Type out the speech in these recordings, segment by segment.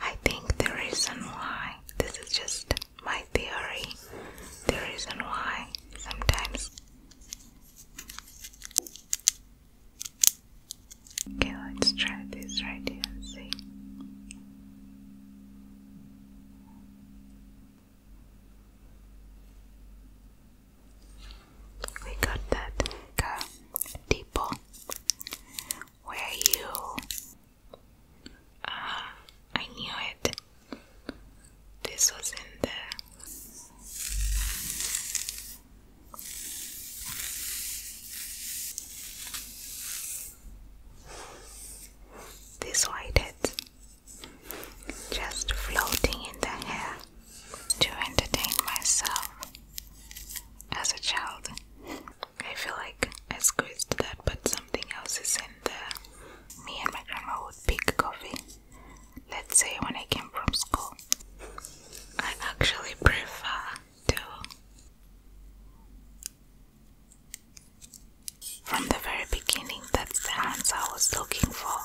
I think the reason why, this is just my theory, the reason why sometimes Okay, let's try this right here see. We got that uh, depot where you Ah, I knew it. This was in there. This white head just floating in the air to entertain myself as a child. I feel like I squeezed that, but something else is in there. Me and my grandma would pick coffee. Let's say when I came from school. I actually prefer to. From the very beginning, that's the answer I was looking for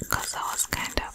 because I was kind of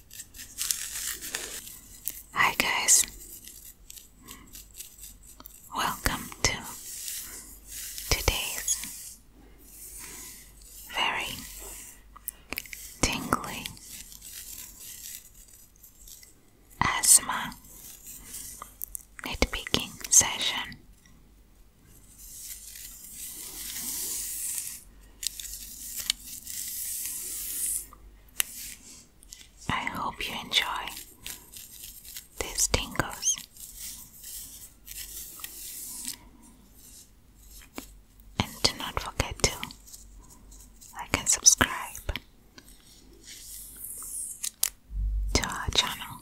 Hi, guys. Welcome to today's very tingly asthma nitpicking session. I hope you enjoy these tingles. And do not forget to like and subscribe to our channel.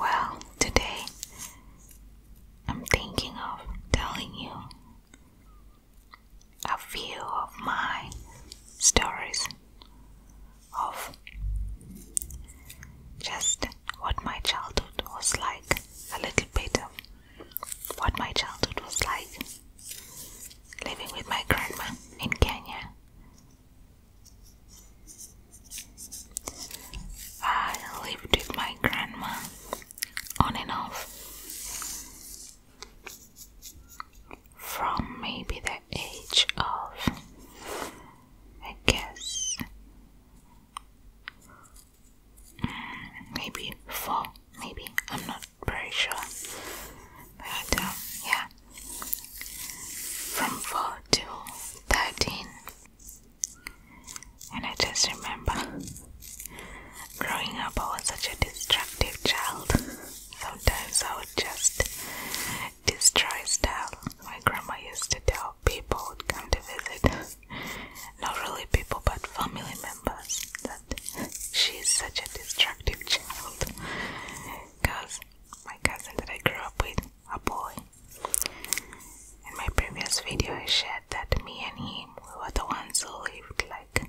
Well, today I'm thinking of telling you a few of my stories of just what my childhood was like, a little bit of what my childhood was like living with my grandma in Kenya. I lived with my grandma on and off from maybe the age of, I guess, mm, maybe four, maybe, I'm not very sure. But um, yeah, from four to 13. And I just remember growing up, I was such a destructive child. Sometimes I would just destroy stuff. My grandma used to tell people would come to visit, not really people, but family members, that she is such a destructive child. Because my cousin that I grew up with, a boy, in my previous video, I shared that me and him were the ones who lived like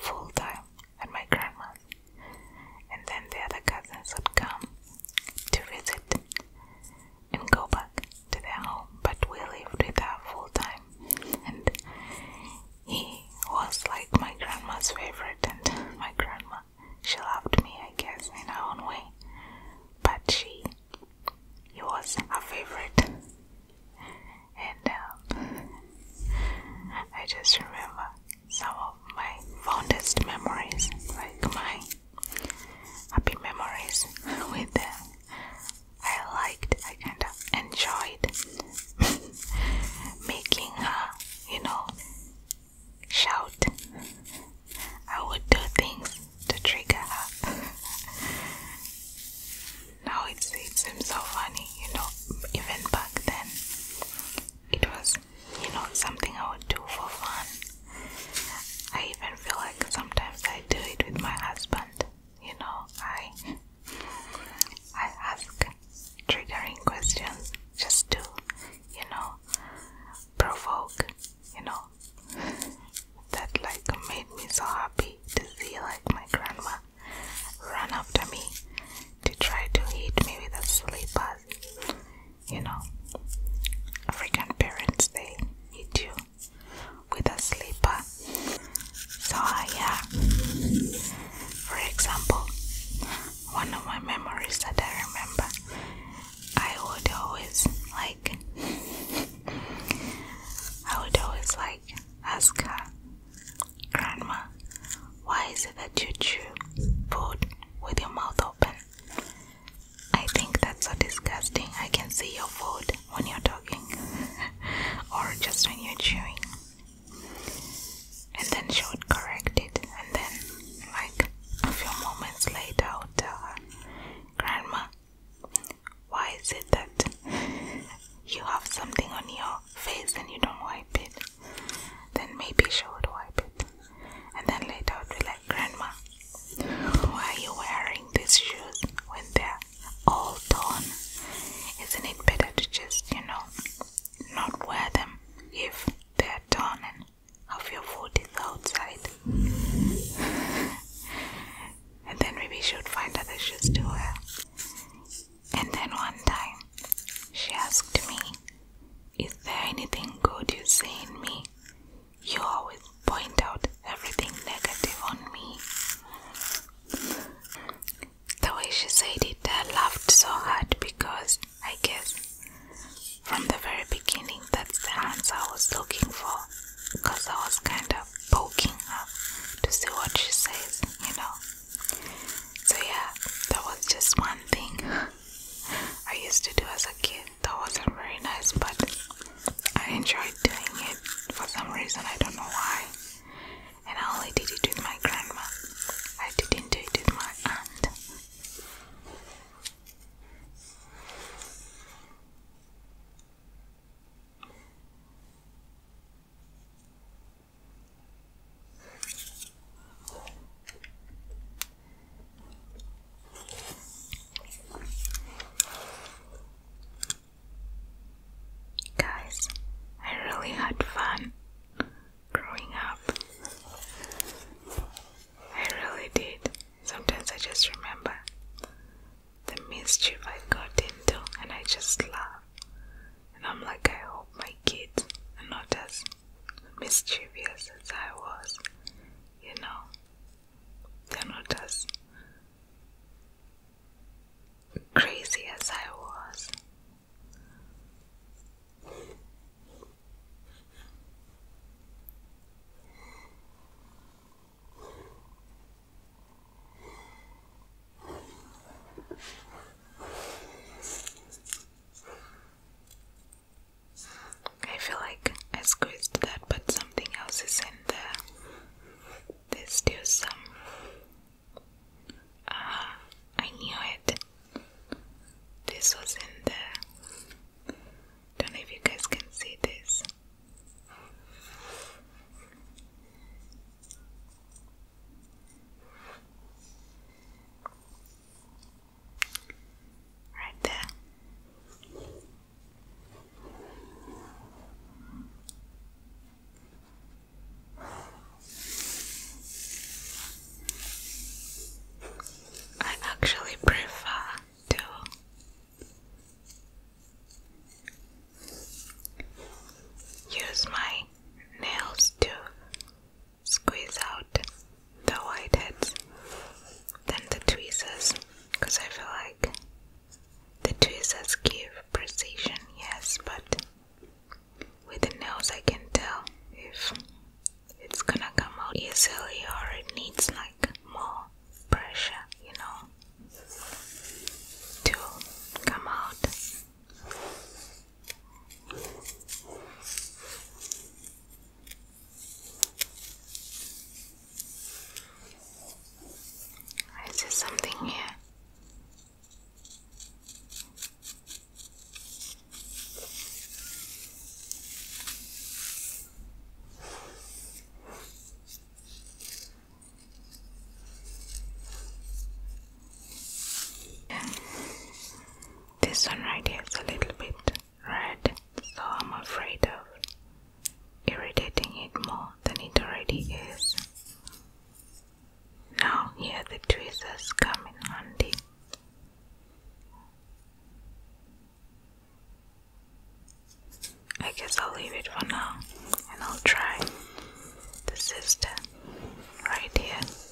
full time at my grandma's, and then the other cousins would come to visit and go back to their home. But we lived with our full time, and he was like my grandma's favorite, and my grandma she loved me, I guess, in her own way. But she, he was her favorite, and um, I just remember some of my fondest memories, like my happy memories with them. I liked, I kind of enjoyed making her, you know, shout. I would do things to trigger her. now it seems so funny, you know, even back then it was, you know, something I would do for fun. I even feel like sometimes I do it with my husband. You know, I I ask triggering questions just to, you know, provoke, you know. That like made me so happy to see like my grandma run after me to try to hit me with a sleeper. You know, African parents they hit you with a slipper. So uh, yeah, for example, one of my memories that I remember, I would always like, I would always like ask her Grandma, why is it that you chew food with your mouth open? I think that's so disgusting. I can see your food when you're talking or just when you're chewing. And then she would correct it. And then, like a few moments later, tell her, Grandma, why is it that you have something on your face and you don't wipe it? Then maybe she would wipe it. And then later we would be like, Grandma, why are you wearing these shoes when they're all torn? Isn't it better to just, you know, not wear them if they're torn and half your foot is outside? and then maybe she would find other shoes to wear. And then one time, she asked me, Is there anything good you see in me? You always point out everything negative on me. The way she said it, I laughed so hard because I guess from the very beginning that's the answer I was looking for because I was kind of poking up to see what she says, you know. So yeah, that was just one thing I used to do as a kid. That wasn't very nice, but I enjoyed doing it for some reason. I don't know why. And I only did it with my grandma. I didn't do it with my aunt. Guys, I really had fun growing up. I really did. Sometimes I just remember the mischief I got into, and I just laugh and I'm like, I hope my kids are not as mischievous as I was, you know, they're not as crazy as I was. I feel like I squeezed that, but something else is in there. There's still some. Ah, I knew it. This was in there. Don't know if you guys can see this. Right there. I actually prefer to use my nails to squeeze out the whiteheads then the tweezers because I feel like the tweezers give precision, yes, but with the nails I can tell if it's gonna come out easily or it needs like more pressure, you know, to come out. Is there something here? This one right here is a little bit red, so I'm afraid of irritating it more than it already is. Now, here the tweezers come in handy. I guess I'll leave it for now and I'll try the sister right here.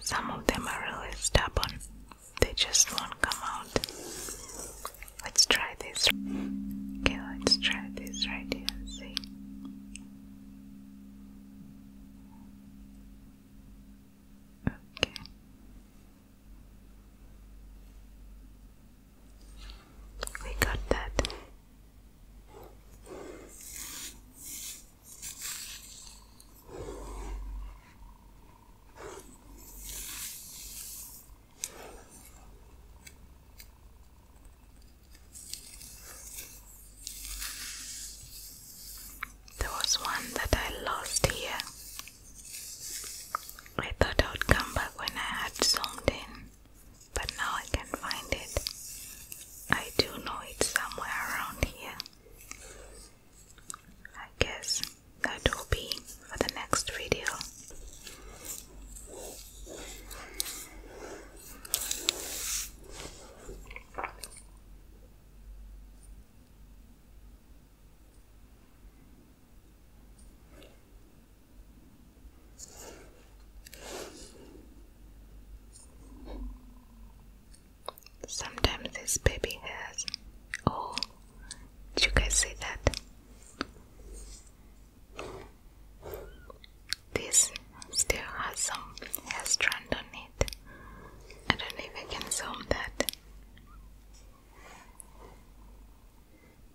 Some of them are really stubborn, they just won't come out. Let's try this. Okay, let's try this right here see. Okay. We got that. There was one that I lost here. I thought I would come back when I had zoomed in, but now I can not find it. I do know it's somewhere around here. I guess that will be for the next video. Sometimes this baby has. Oh, did you guys see that? This still has some hair strand on it. I don't know if I can zoom that.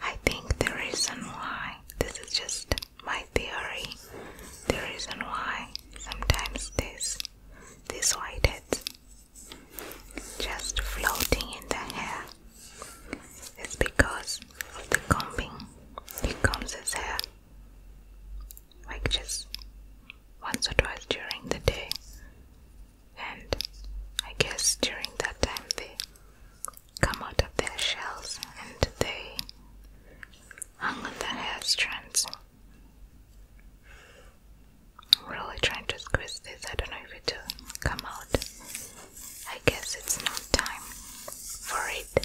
I think the reason why this is just my theory. The reason why sometimes this these whiteheads just floating in the hair is because of the combing. He combs his hair like just once or twice during the day and I guess during that time they come out of their shells and they hang on their hair strands. I'm really trying to squeeze this. I don't know if it will come out. I guess it's not time for it.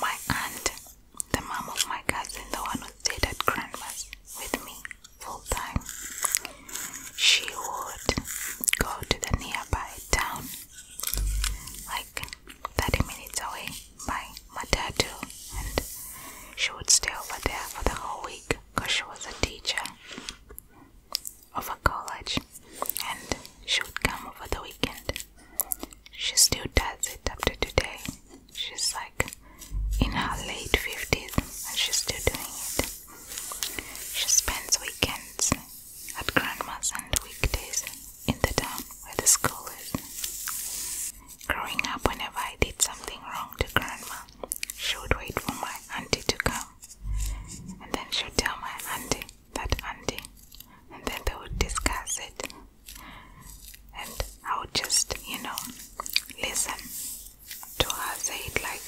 My aunt, the mom of my cousin, the one who stayed at grandma's with me full time, she would go to the nearby town, like 30 minutes away, by Matatu, and she would stay over there for the whole week because she was a teacher of a college and she would come over the weekend she still does it up to today. She's like in her late 50s and she's still doing it. She spends weekends at grandma's and weekdays in the town where the school is. Growing up, whenever I did something wrong to grandma, she would wait for my auntie to come and then she'd tell my auntie that auntie, and then they would discuss it, and I would just, you know, listen to her say it like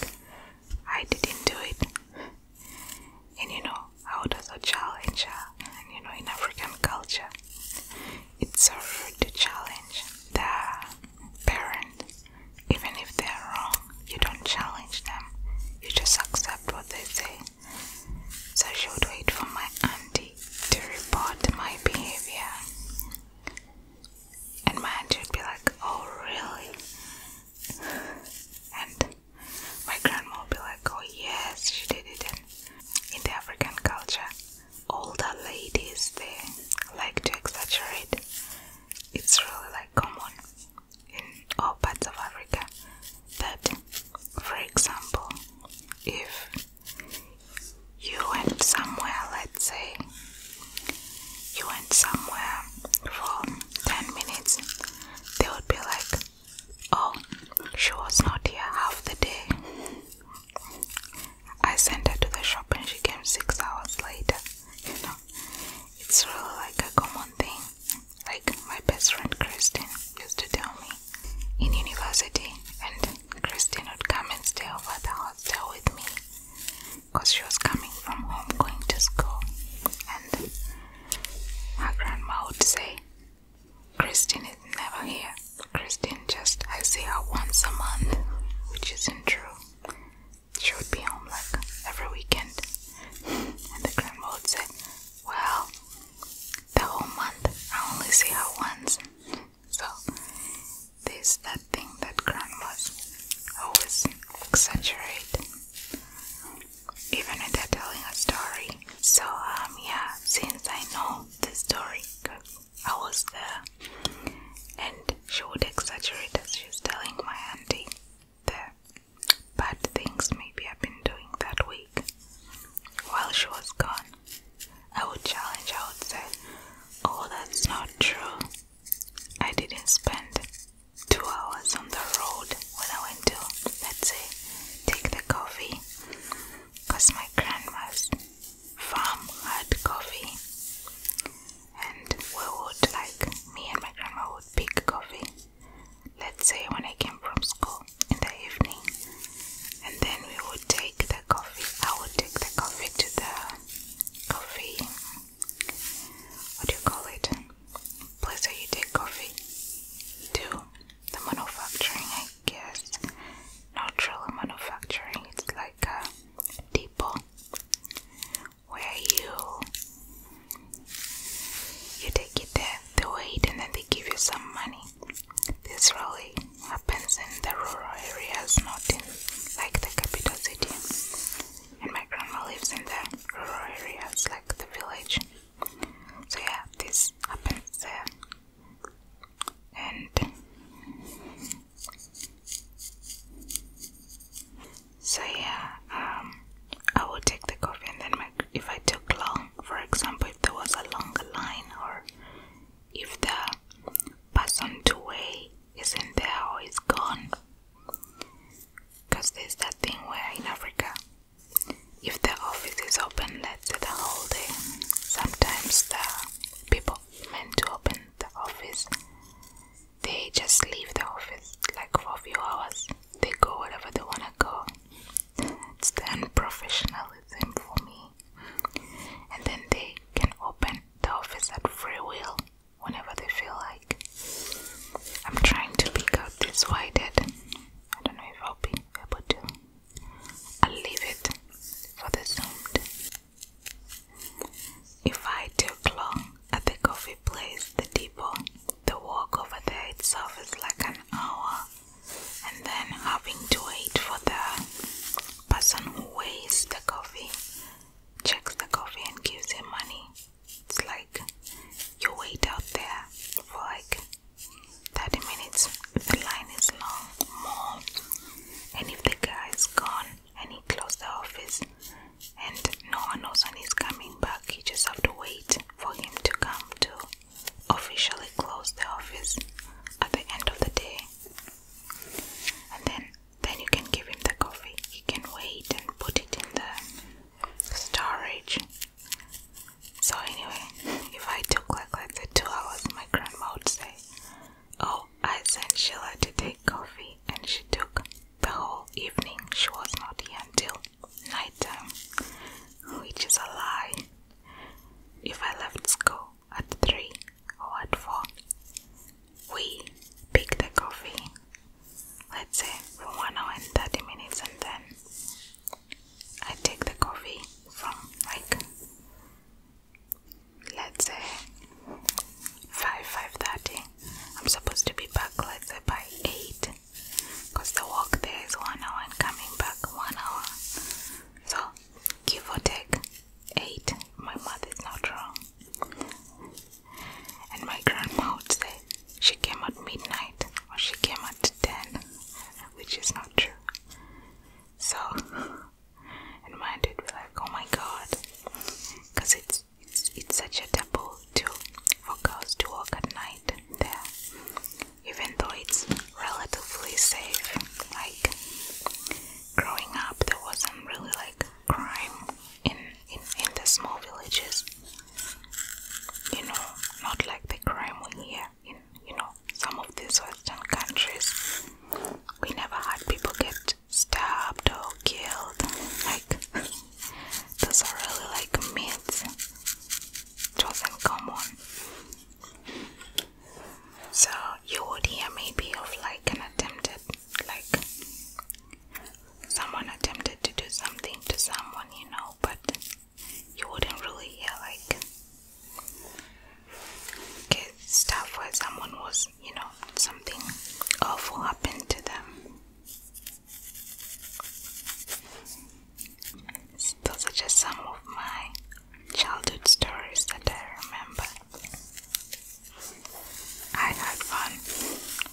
I didn't do it, and you know, how does a child in, and you know, in African culture, it's so rude to challenge the parent, even if they're wrong. You don't challenge them, you just accept what they say so she would wait for my auntie to report my behavior. And my auntie would be like, Oh, really? And my grandma would be like, Oh, yes, she did it. in the African culture, all the ladies they like to exaggerate, it's really like common in all parts of Africa that, for example, if you went somewhere, let's say you went somewhere for 10 minutes, they would be like, Oh, she was not here half the day. I sent her to the shop and she came six hours later. You know, it's really like a common thing like my best friend Kristen used to tell me in university, and Kristen would come and stay over the hostel with me because she was coming from home going to school, and her grandma would say, Kristen is never here. Kristen just, I see her once a month, which isn't true. She would be home like every weekend. And the grandma would say, Well, the whole month. I only see her once. So there's that thing that grandmas always exaggerate, even if they're telling a story. So um yeah, since I know the story, I was there, and she would exaggerate as she was telling my auntie there bad things maybe I've been doing that week while she was gone. I would challenge, I would say, Oh, that's not true. I didn't spend two hours on the road when I went to, let's say, take the coffee because my grandma's farm had coffee, and we would like me and my grandma would pick coffee let's say when I came from school in the evening, and then we would take the coffee. I would take the coffee to the coffee. What do you call it? Place where you take coffee to the manufacturing, I guess. Natural manufacturing. It's like a depot where you you take it there, they wait, and then they give you some money. This really happens in the rural areas, not in like the capital city. And my grandma lives in the rural areas, like the village. So yeah, this happens there. And so yeah, um, I would take the coffee and then if I took long, for example, if there was a longer line or if the person to weigh isn't there or is gone, because there's that thing where in Africa, if the office is open, let's say the whole day, sometimes the people meant to open the office, they just leave the office like for a few hours. They go wherever they wanna go. It's the unprofessionalism for me. And then they can open the office at free will whenever they feel like. I'm trying to pick up this wide-head. I don't know if I'll be able to. I'll leave it for the sound. If I took long at the coffee place, the depot, the walk over there itself is like an hour and then having to wait for the person who weighs the coffee, checks the coffee, and gives him money. It's like you wait out there for like 30 minutes, the line is long, And if the guy is gone and he closed the office and no one knows when he's coming back, you just have to wait for him to come to officially close the office at the end of the day. And then then you can give him the coffee. He can wait and put it in the storage. So anyway, if I took like let's two hours, my grandma would say, "Oh, I sent Sheila to take coffee, and she took the whole evening. She was not here until nighttime, um, which is a lie. If I left school at 3 or at 4, we pick the coffee, let's say for 1 hour and 30 minutes, and then I take the coffee from Mike. let's say 5 5:30. I'm supposed to be back let's by 8 because the walk there is one hour and coming back one hour. So, give or take eight. My math is not wrong. And my grandma would say she came at midnight or she came at 10, which is not true. So, and my aunt would be like, oh my god, because it's, it's, it's such a taboo to for girls to walk at night there even though it's relatively safe. Like growing up, there wasn't really like crime in in, the small villages. You know, not like the crime we hear in you know some of these Western countries. We never had people get stabbed or killed. Like those are really like myths it was common. So you would hear maybe of like an attempted, like someone attempted to do something to someone, you know, but you wouldn't really hear like stuff where someone was, you know, something awful happened to them. Those are just some of my childhood stories that I remember. I had fun.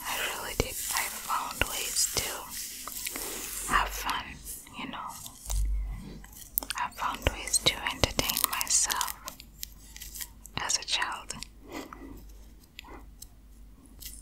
I really did. I found ways to have fun, you know. I found ways to entertain myself as a child.